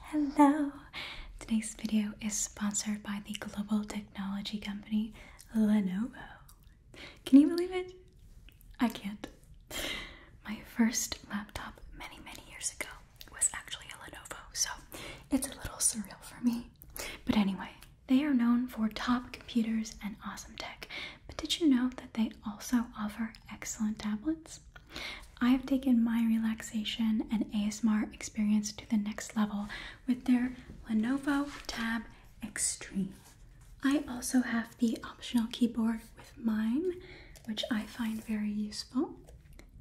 Hello! Today's video is sponsored by the global technology company Lenovo. Can you believe it? I can't. My first laptop many, many years ago was actually a Lenovo, so it's a little surreal for me. But anyway, they are known for top computers and awesome tech. But did you know that they also offer excellent tablets? I've taken my relaxation and ASMR experience to the next level with their Lenovo Tab Extreme. I also have the optional keyboard with mine, which I find very useful.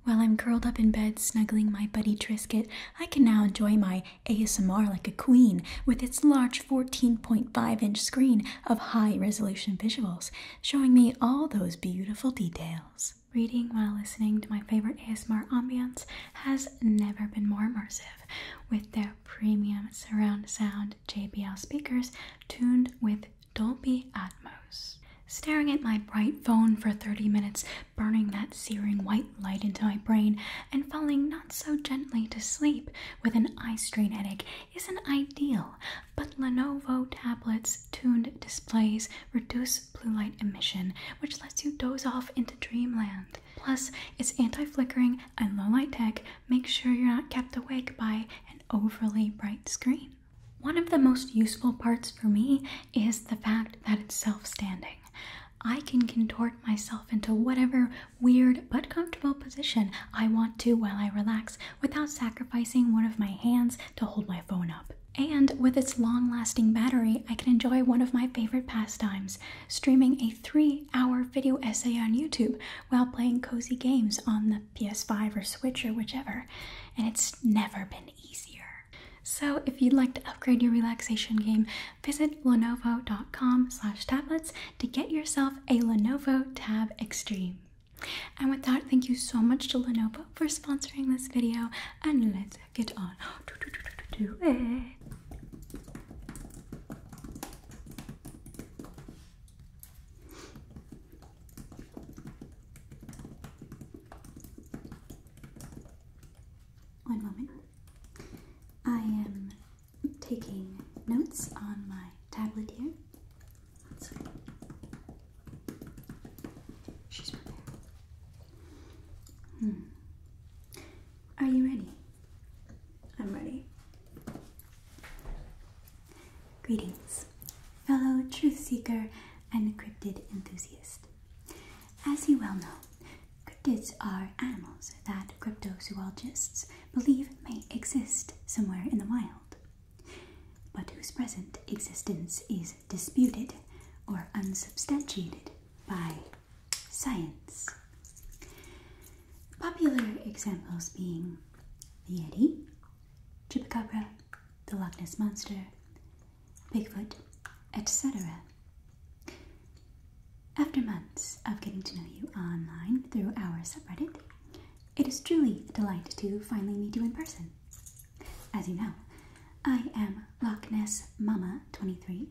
While I'm curled up in bed snuggling my buddy Trisket, I can now enjoy my ASMR like a queen with its large 14.5 inch screen of high resolution visuals, showing me all those beautiful details reading while listening to my favorite ASMR ambiance has never been more immersive with their premium surround sound JBL speakers tuned with Dolby Atmos. Staring at my bright phone for 30 minutes, burning that searing white light into my brain, and falling not so gently to sleep with an eye strain headache isn't ideal but Lenovo tablets' tuned displays reduce blue light emission, which lets you doze off into dreamland. Plus, its anti flickering and low light tech make sure you're not kept awake by an overly bright screen. One of the most useful parts for me is the fact that it's self standing. I can contort myself into whatever weird but comfortable position I want to while I relax without sacrificing one of my hands to hold my phone up. And with its long lasting battery, I can enjoy one of my favorite pastimes streaming a three hour video essay on YouTube while playing cozy games on the PS5 or Switch or whichever. And it's never been easier. So if you'd like to upgrade your relaxation game, visit lenovo.com/tablets to get yourself a Lenovo Tab Extreme. And with that, thank you so much to Lenovo for sponsoring this video, and let's get on to, it. One moment. I am taking notes on my tablet here she's prepared. Hmm. Are you ready? I'm ready. Greetings, fellow truth seeker and cryptid enthusiast. As you well know, cryptids are animals that cryptozoologists believe may exist somewhere in the wild but whose present existence is disputed or unsubstantiated by science. Popular examples being the Yeti, Chupacabra, the Loch Ness Monster, Bigfoot, etc. After months of getting to know you online through our subreddit, it is truly a delight to finally meet you in person. As you know, I am Lochness Mama 23,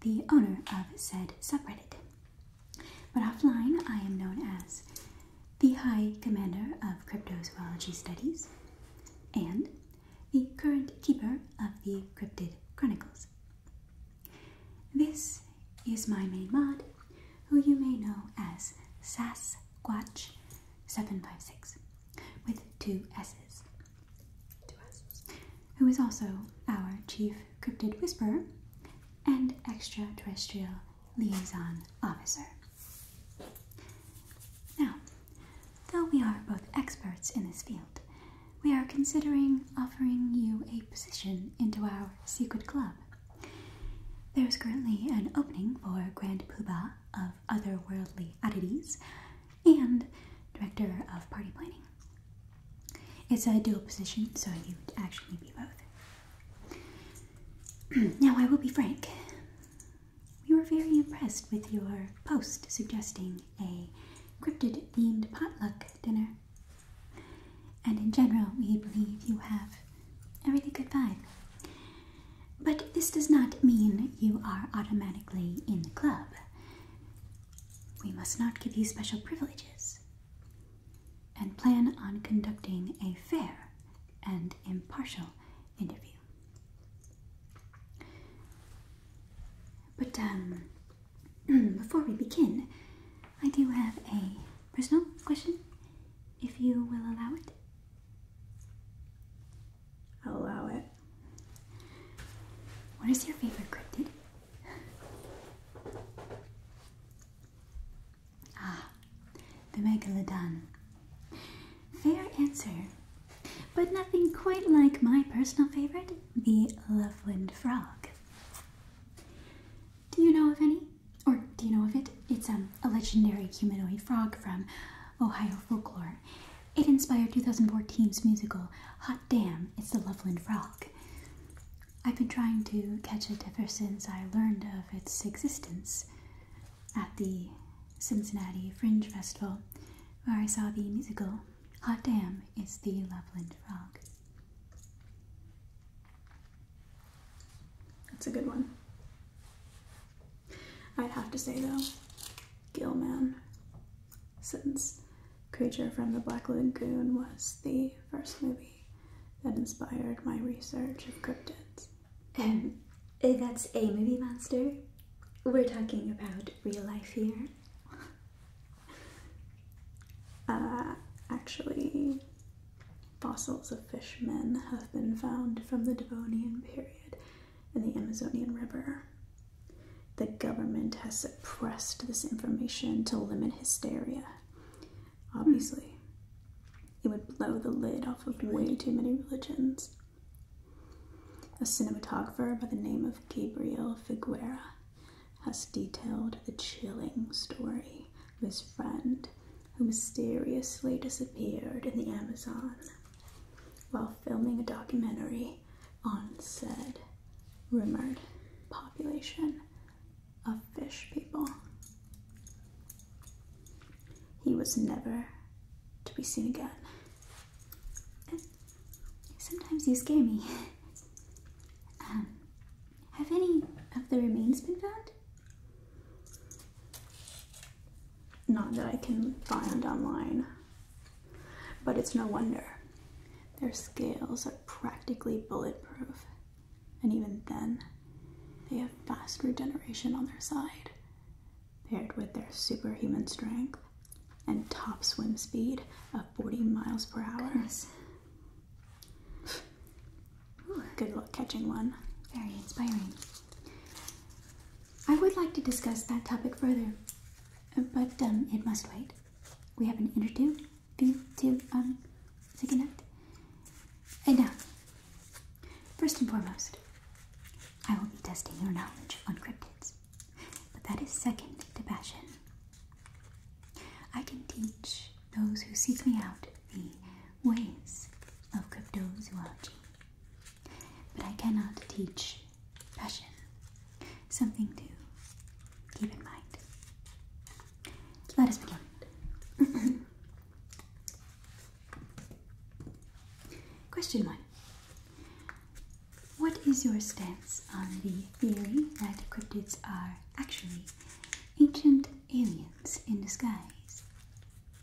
the owner of said subreddit. But offline, I am known as the High Commander of Cryptozoology Studies and the current keeper of the Cryptid Chronicles. This is my main mod, who you may know as Sasquatch756 with two S's. Who is also our chief cryptid whisperer and extraterrestrial liaison officer. Now, though we are both experts in this field, we are considering offering you a position into our secret club. There is currently an opening for Grand Poobah of otherworldly oddities and director of party planning. It's a dual position, so you would actually be both. now, I will be frank. We were very impressed with your post suggesting a cryptid themed potluck dinner. And in general, we believe you have a really good vibe. But this does not mean you are automatically in the club. We must not give you special privileges and plan on conducting a fair and impartial interview. But um, before we begin, I do have a personal question, if you will allow it allow it. What is your favorite cryptid? Ah, the Megalodon. Fair answer, but nothing quite like my personal favorite, the Loveland Frog. Do you know of any? Or do you know of it? It's um, a legendary humanoid frog from Ohio folklore. It inspired 2014's musical Hot Damn, It's the Loveland Frog. I've been trying to catch it ever since I learned of its existence at the Cincinnati Fringe Festival, where I saw the musical Hot Damn, It's the Loveland Frog. That's a good one i have to say though, Gillman, since Creature from the Black Lagoon was the first movie that inspired my research of cryptids. Um, eh, that's a movie monster. We're talking about real life here. Uh, actually, fossils of fishmen have been found from the Devonian period and the Amazonian River. The government has suppressed this information to limit hysteria. Obviously, it would blow the lid off of way too many religions. A cinematographer by the name of Gabriel Figuera has detailed the chilling story of his friend who mysteriously disappeared in the Amazon while filming a documentary on said rumored population of fish people. He was never to be seen again. sometimes you scare me. have any of the remains been found? Not that I can find online. But it's no wonder. Their scales are practically bulletproof. And even then, they have fast regeneration on their side. Paired with their superhuman strength and top swim speed of 40 miles per hour. Good luck catching one. Very inspiring. I would like to discuss that topic further, but um, it must wait. We have an interview to um, to connect. And now, uh, first and foremost, I will be testing your knowledge on cryptids, but that is second to passion. I can teach those who seek me out the ways of cryptozoology but I cannot teach passion. Something to keep in mind. Let us begin. Question 1. What is your stance on the theory that cryptids are actually ancient aliens in disguise?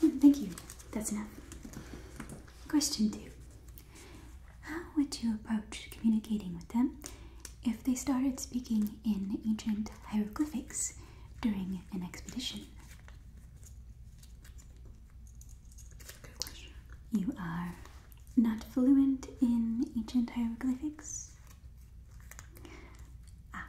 Hmm, thank you. That's enough. Question two How would you approach communicating with them if they started speaking in ancient hieroglyphics during an expedition? You are not fluent in ancient hieroglyphics? Ah.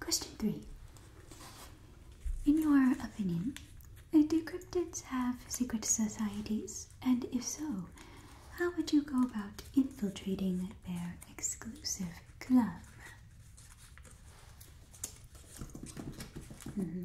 Question three. In your opinion, do cryptids have secret societies? And if so, how would you go about infiltrating their exclusive club? Mm-hmm.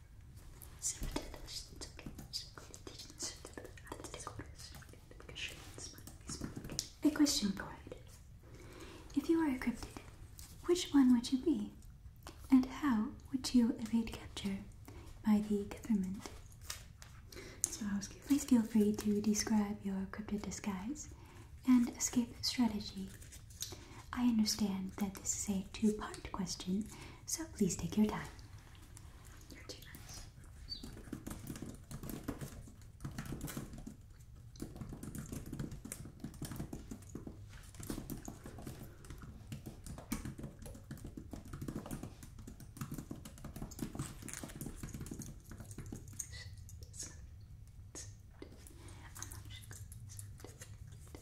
A question for you: If you were a cryptid, which one would you be? And how would you evade capture by the government? Please feel free to describe your cryptid disguise and escape strategy I understand that this is a two part question, so please take your time.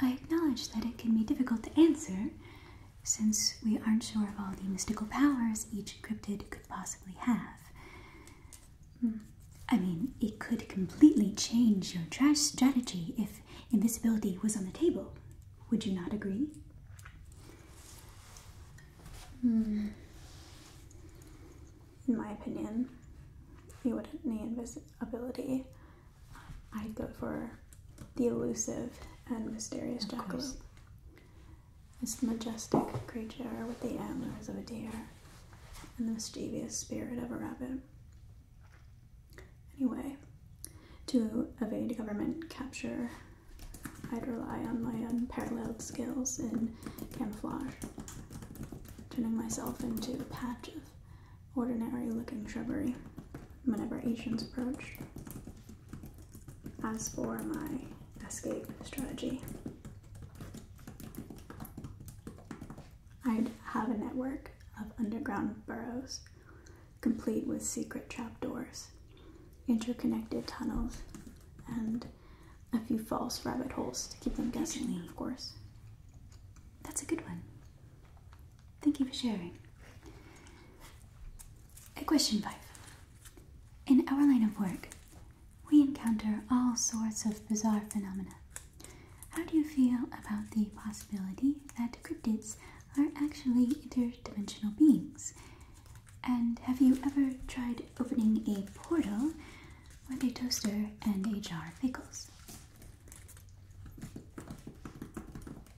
I acknowledge that it can be difficult to answer since we aren't sure of all the mystical powers each cryptid could possibly have. Hmm. I mean, it could completely change your trash strategy if invisibility was on the table. Would you not agree? Hmm. In my opinion, you wouldn't need invisibility I'd go for the elusive and mysterious of jackalope. Course. majestic creature with the antlers of a deer and the mischievous spirit of a rabbit. Anyway, to evade government capture, I'd rely on my unparalleled skills in camouflage, turning myself into a patch of ordinary looking shrubbery whenever Asians approach. As for my escape strategy, I'd have a network of underground burrows, complete with secret trapdoors, interconnected tunnels, and a few false rabbit holes to keep them guessing, of course. That's a good one. Thank you for sharing. At question five. In our line of work, we encounter all sorts of bizarre phenomena. How do you feel about the possibility that cryptids are actually interdimensional beings? And have you ever tried opening a portal with a toaster and a jar of pickles?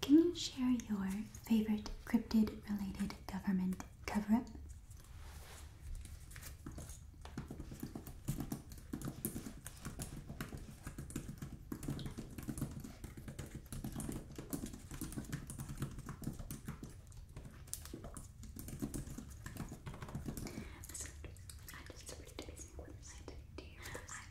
Can you share your favorite cryptid related government cover up?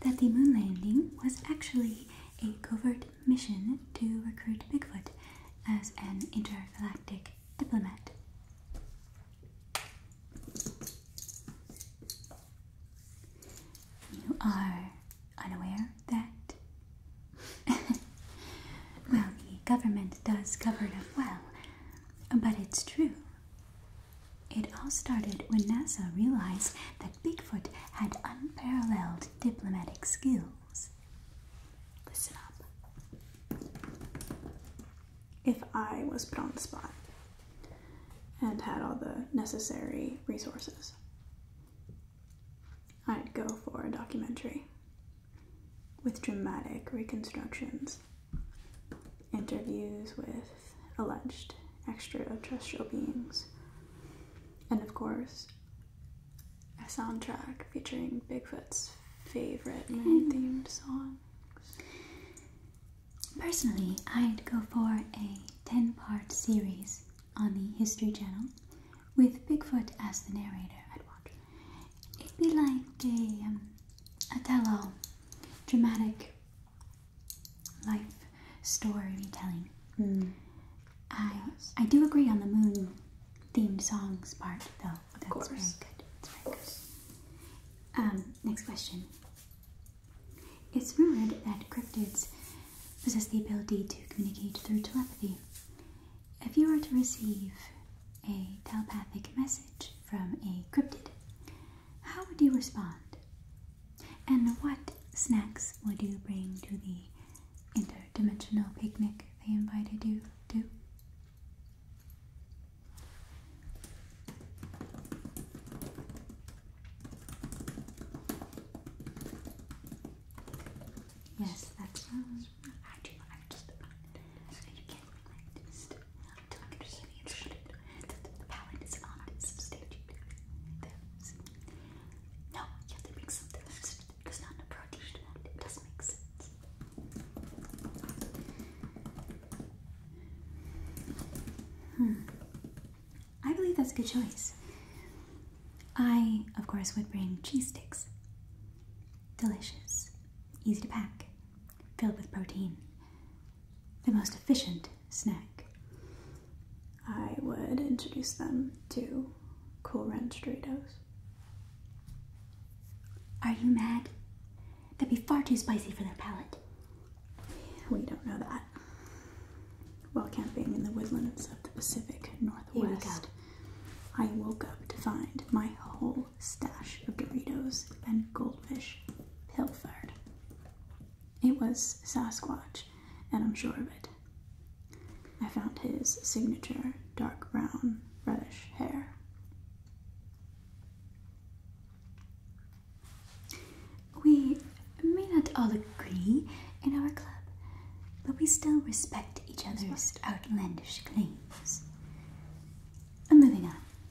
that the moon landing was actually a covert mission to recruit Bigfoot as an intergalactic diplomat. You are unaware that? well, the government does cover up well, but it's true it all started when NASA realized that Bigfoot had unparalleled diplomatic skills. Listen up. If I was put on the spot and had all the necessary resources, I'd go for a documentary with dramatic reconstructions interviews with alleged extraterrestrial beings, and of course, a soundtrack featuring Bigfoot's favorite moon hmm. themed songs. Personally, I'd go for a 10 part series on the History Channel with Bigfoot as the narrator. I'd watch. It'd be like a, um, a tell all dramatic life storytelling. Hmm. I I do agree on the moon themed songs part though. Of course. Um, next question. It's rumored that cryptids possess the ability to communicate through telepathy. If you were to receive a telepathic message from a cryptid, how would you respond? And what snacks would you bring to the interdimensional picnic they invited you to? Yes, that sounds. I do. I just. So you can't until be interpreted that not substituted. No, something else not a protein It does make sense. Hmm. I believe that's a good choice. I, of course, would bring cheese sticks. Delicious, easy to pack, filled with protein, the most efficient snack, I would introduce them to Cool Ranch Doritos. Are you mad? That'd be far too spicy for their palate. We don't know that. While camping in the woodlands of the Pacific Northwest, I woke up to find my whole stash of Doritos and goldfish pilfered. It was Sasquatch, and I'm sure of it. I found his signature dark brown, reddish hair. We may not all agree in our club, but we still respect each other's outlandish claims. And moving on.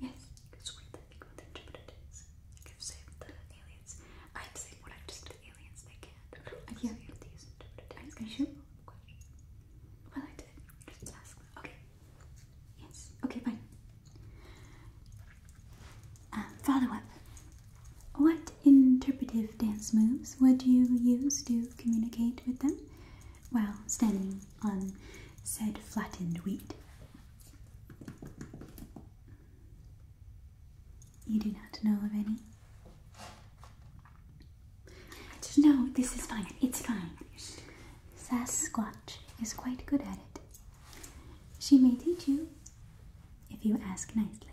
Yes. It's weird that people think what it is. Like I've saved the aliens. I've saved what I've just the aliens. They can't. Yeah. These Are you sure? Well, I did. Just ask them. Okay. Yes. Okay, fine. Um, follow up. What interpretive dance moves would you use to communicate with them? Well, standing on said flattened wheat. You do not know of any? No, this is fine. It's fine. Sasquatch is quite good at it. She may teach you if you ask nicely.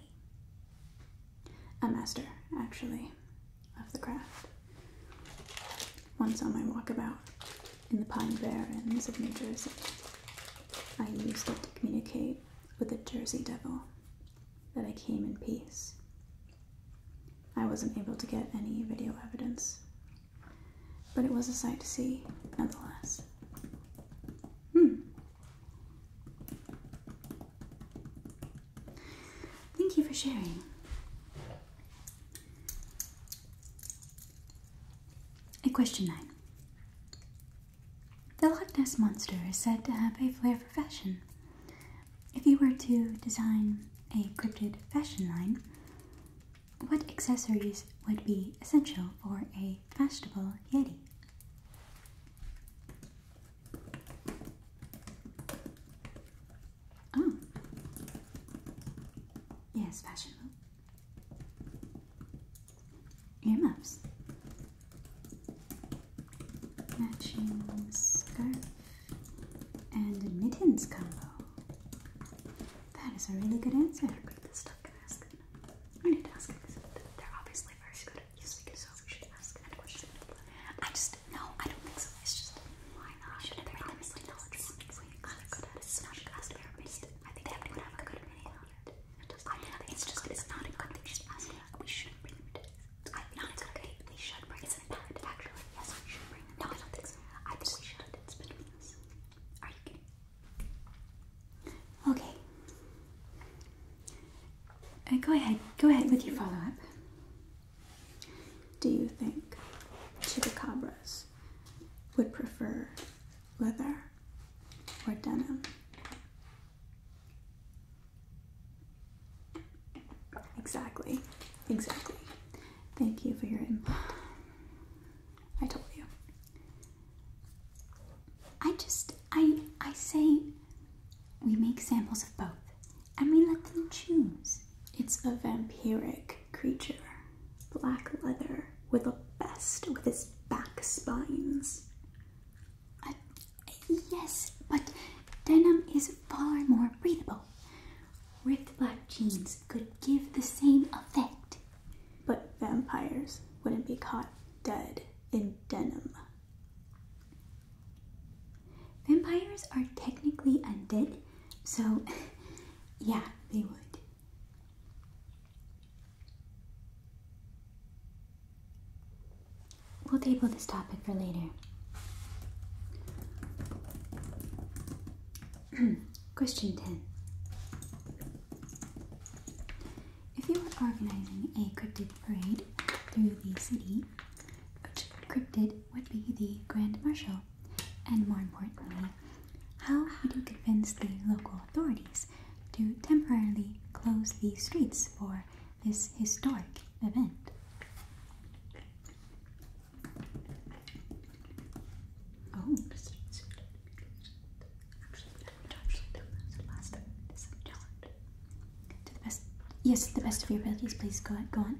A master, actually, of the craft. Once on my walkabout, in the Pine Barrens of New Jersey. I used it to communicate with the Jersey Devil that I came in peace. I wasn't able to get any video evidence, but it was a sight to see nonetheless. Hmm. Thank you for sharing. And question 9. The Loch Ness Monster is said to have a flair for fashion. If you were to design a cryptid fashion line, what accessories would be essential for a fashionable Yeti? Oh. Yes, fashionable. Earmuffs. Matching scarf and mittens combo. That is a really good answer. This stuff can ask. I need to ask because they're obviously very good at using it, so we should ask that question. I just, no, I don't think so. It's just, why not? We should have been as like electronics. We got good at it. It's not good as their mist. I think they would have a good opinion on it. I think it's just it's not a good thing. We should bring them to I think not it's okay. We should bring it. It's an impact, actually. Yes, we should bring them. No, I don't think so. I think we should. It's between us. Are you kidding? Okay. Uh, go ahead. Go ahead with your follow-up. Do you think chupacabras would prefer leather or denim? Exactly, exactly. Thank you for your input. I told you. I just, I, I say we make samples of both and we let them choose. It's a vampiric creature, black leather, with a vest with its back spines. yes, but denim is far more breathable. Ripped black jeans could give the same effect. But vampires wouldn't be caught dead in denim. Vampires are technically undead, so, yeah, they would. We'll table this topic for later. Question 10. If you were organizing a cryptid parade through the city, which cryptid would be the Grand Marshal? And more importantly, how would you convince the local authorities to temporarily close the streets for this historic event? Oh, to the best, yes, the best of your abilities, please go, ahead, go on.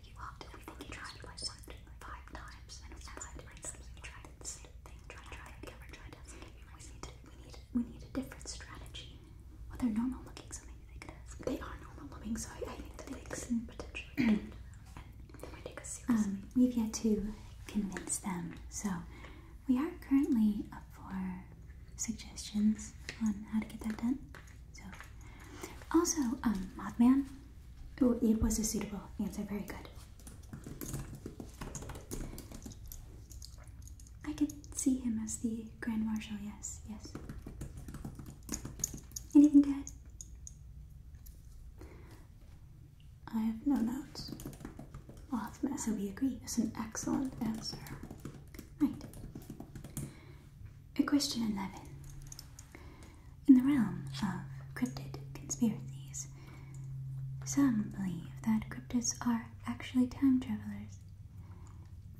If you you tried five times, and five different times you tried the same thing, try, try, ever tried it. We need to, we need, we need a different strategy. Well, they're normal looking, so they are normal looking, so I, think that they could potentially. and they might um, we've yet to convince them, so we are currently up for suggestions on how to get that done. So, also, um, Mothman. it was a suitable answer. Very good. I could see him as the Grand Marshal. Yes, yes. Anything to add? I have no notes. Mothman. So we agree. It's an excellent answer. Right. Question 11. In the realm of cryptid conspiracies, some believe that cryptids are actually time travelers.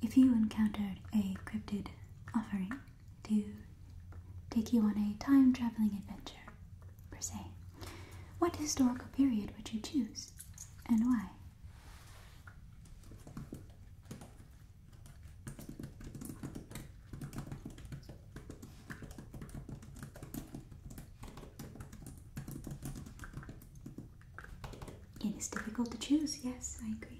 If you encountered a cryptid offering to take you on a time traveling adventure, per se, what historical period would you choose and why? It is difficult to choose, yes, I agree.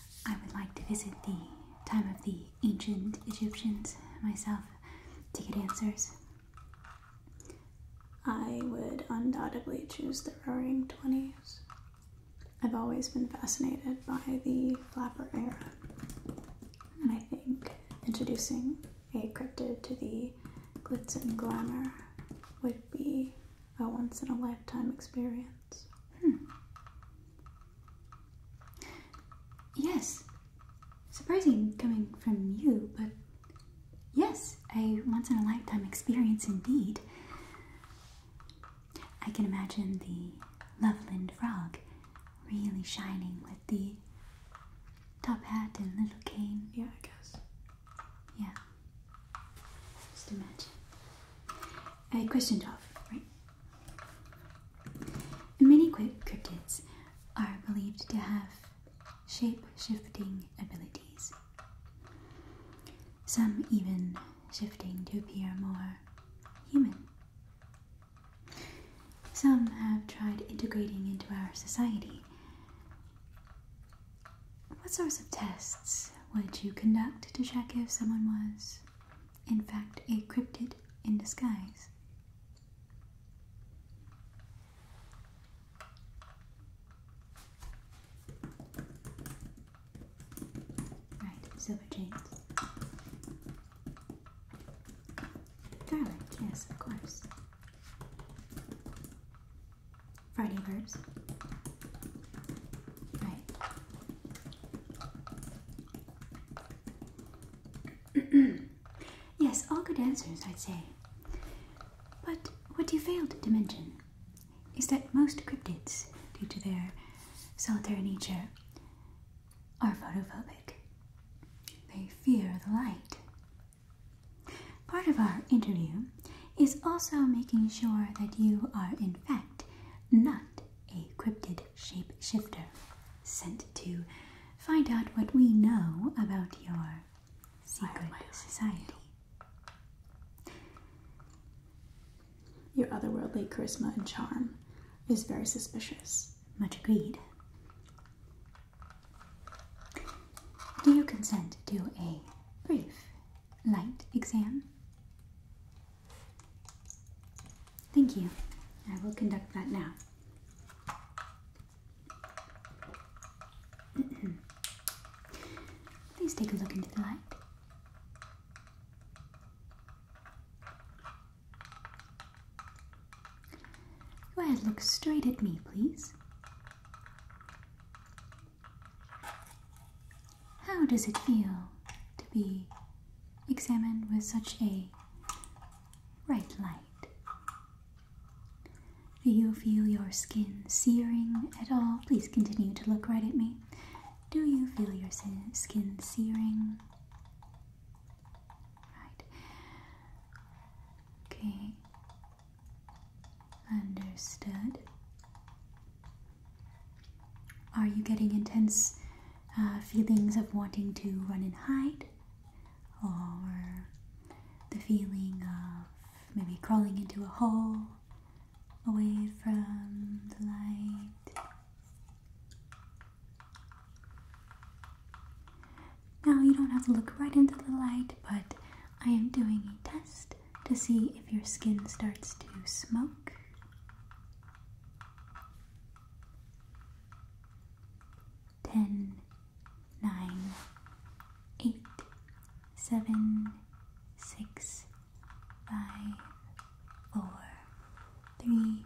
I would like to visit the time of the ancient Egyptians myself to get answers. I would undoubtedly choose the Roaring Twenties. I've always been fascinated by the flapper era, and I think introducing a cryptid to the glitz and glamour would be a once in a lifetime experience. Hmm. Yes, surprising coming from you, but yes, a once in a lifetime experience indeed. I can imagine the Loveland frog really shining with the top hat and little cane. Yeah, I guess. Yeah. Just imagine. A question, off, right? Many cryptids are believed to have shape shifting abilities, some even shifting to appear more human. Some have tried integrating into our society. What sorts of tests would you conduct to check if someone was in fact, a cryptid in disguise. Right, silver chains. Garlic, yes, of course. Friday verbs. Right. yes, all good answers, I'd say. But what you failed to mention is that most cryptids, due to their solitary nature, are photophobic. They fear the light. Part of our interview is also making sure that you are, in fact, not a cryptid shapeshifter sent to find out what we know about your secret society. Your otherworldly charisma and charm is very suspicious. Much agreed. Do you consent to a brief light exam? Thank you. I will conduct that now. Please take a look into the light. Go ahead, look straight at me, please. How does it feel to be examined with such a bright light? Do you feel your skin searing at all? Please continue to look right at me. Do you feel your skin searing? Right. Okay. Understood. Are you getting intense uh, feelings of wanting to run and hide? Or the feeling of maybe crawling into a hole away from the light? Now, you don't have to look right into the light, but I am doing a test to see if your skin starts to smoke. Ten, nine, eight, seven, six, five, four, three,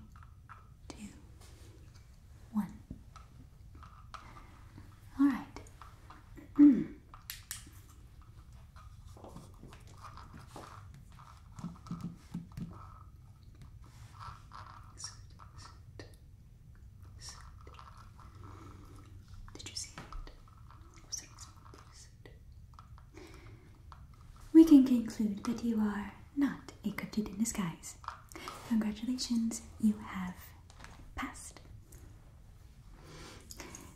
two, one. All right. We can conclude that you are not a cryptid in disguise. Congratulations, you have passed.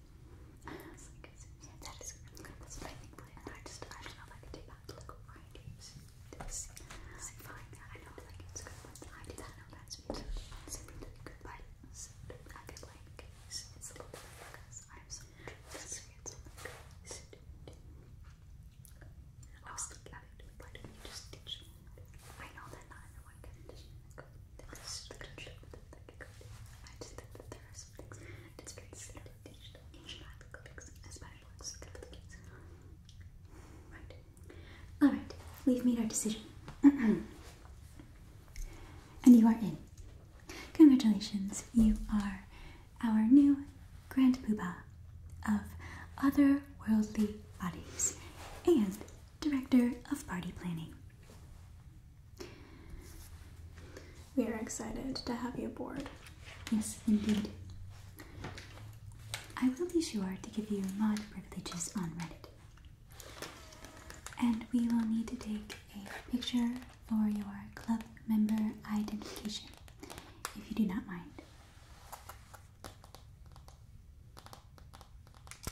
It's I think, but I I don't know if I could do that. Look, I I find like it's I do that. I know that's me too. It's really good, I could like, it's a little bit because I have so much experience I was thinking of it, don't you just I know that not everyone can Alright, we've made our decision. and you are in. Congratulations, you are our new Grand Poobah of Otherworldly Bodies and Director of Party Planning. We are excited to have you aboard. Yes, indeed. I will be sure to give you mod privileges on Reddit. And we will need to take a picture for your club member identification, if you do not mind.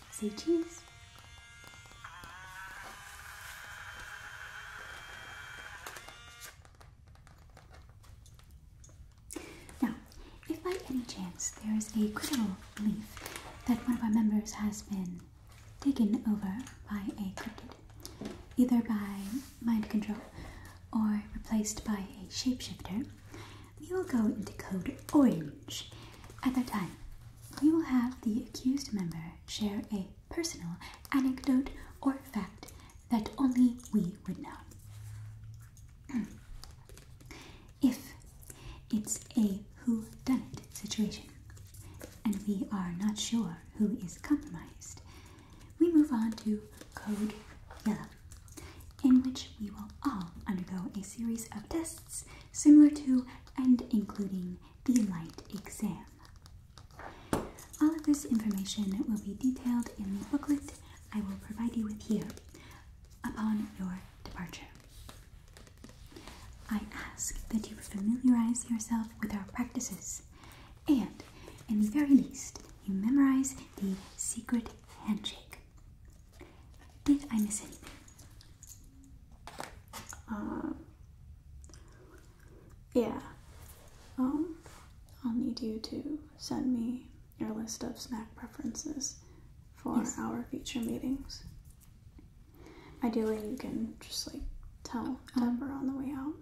Say cheese! Now, if by any chance there is a critical belief that one of our members has been taken over by a cryptid, either by mind control or replaced by a shapeshifter, we will go into code orange. At that time, we will have the accused member share a personal anecdote or fact that only we would know. if it's a who done it situation and we are not sure who is compromised, we move on to code yellow, in which we will all undergo a series of tests similar to and including the light exam. All of this information will be detailed in the booklet I will provide you with here upon your departure. I ask that you familiarize yourself with our practices and, in the very least, you memorize the secret handshake. Did I miss anything? Uh, yeah. Um, I'll need you to send me your list of snack preferences for our future meetings. Ideally, you can just like tell uh-huh. Amber on the way out.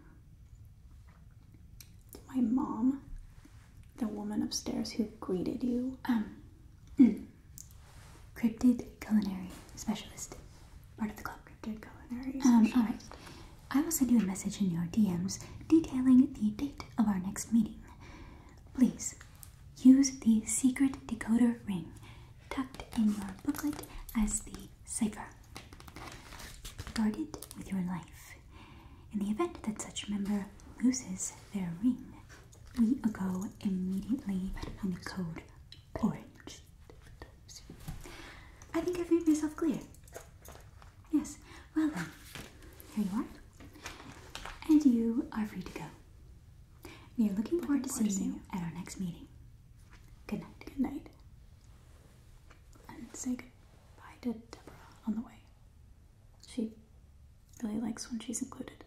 My mom, the woman upstairs who greeted you, um, mm. Cryptid culinary specialist, part of the club. Cryptid culinary um, all right. I will send you a message in your DMs detailing the date of our next meeting. Please use the secret decoder ring tucked in your booklet as the cipher. Guard it with your life. In the event that such member loses their ring, we go immediately on the code orange. I think I've made myself clear. Yes, well then, here you are. And you are free to go. We are looking forward to seeing you at our next meeting. Good night. Good night. And say goodbye to Deborah on the way. She really likes when she's included.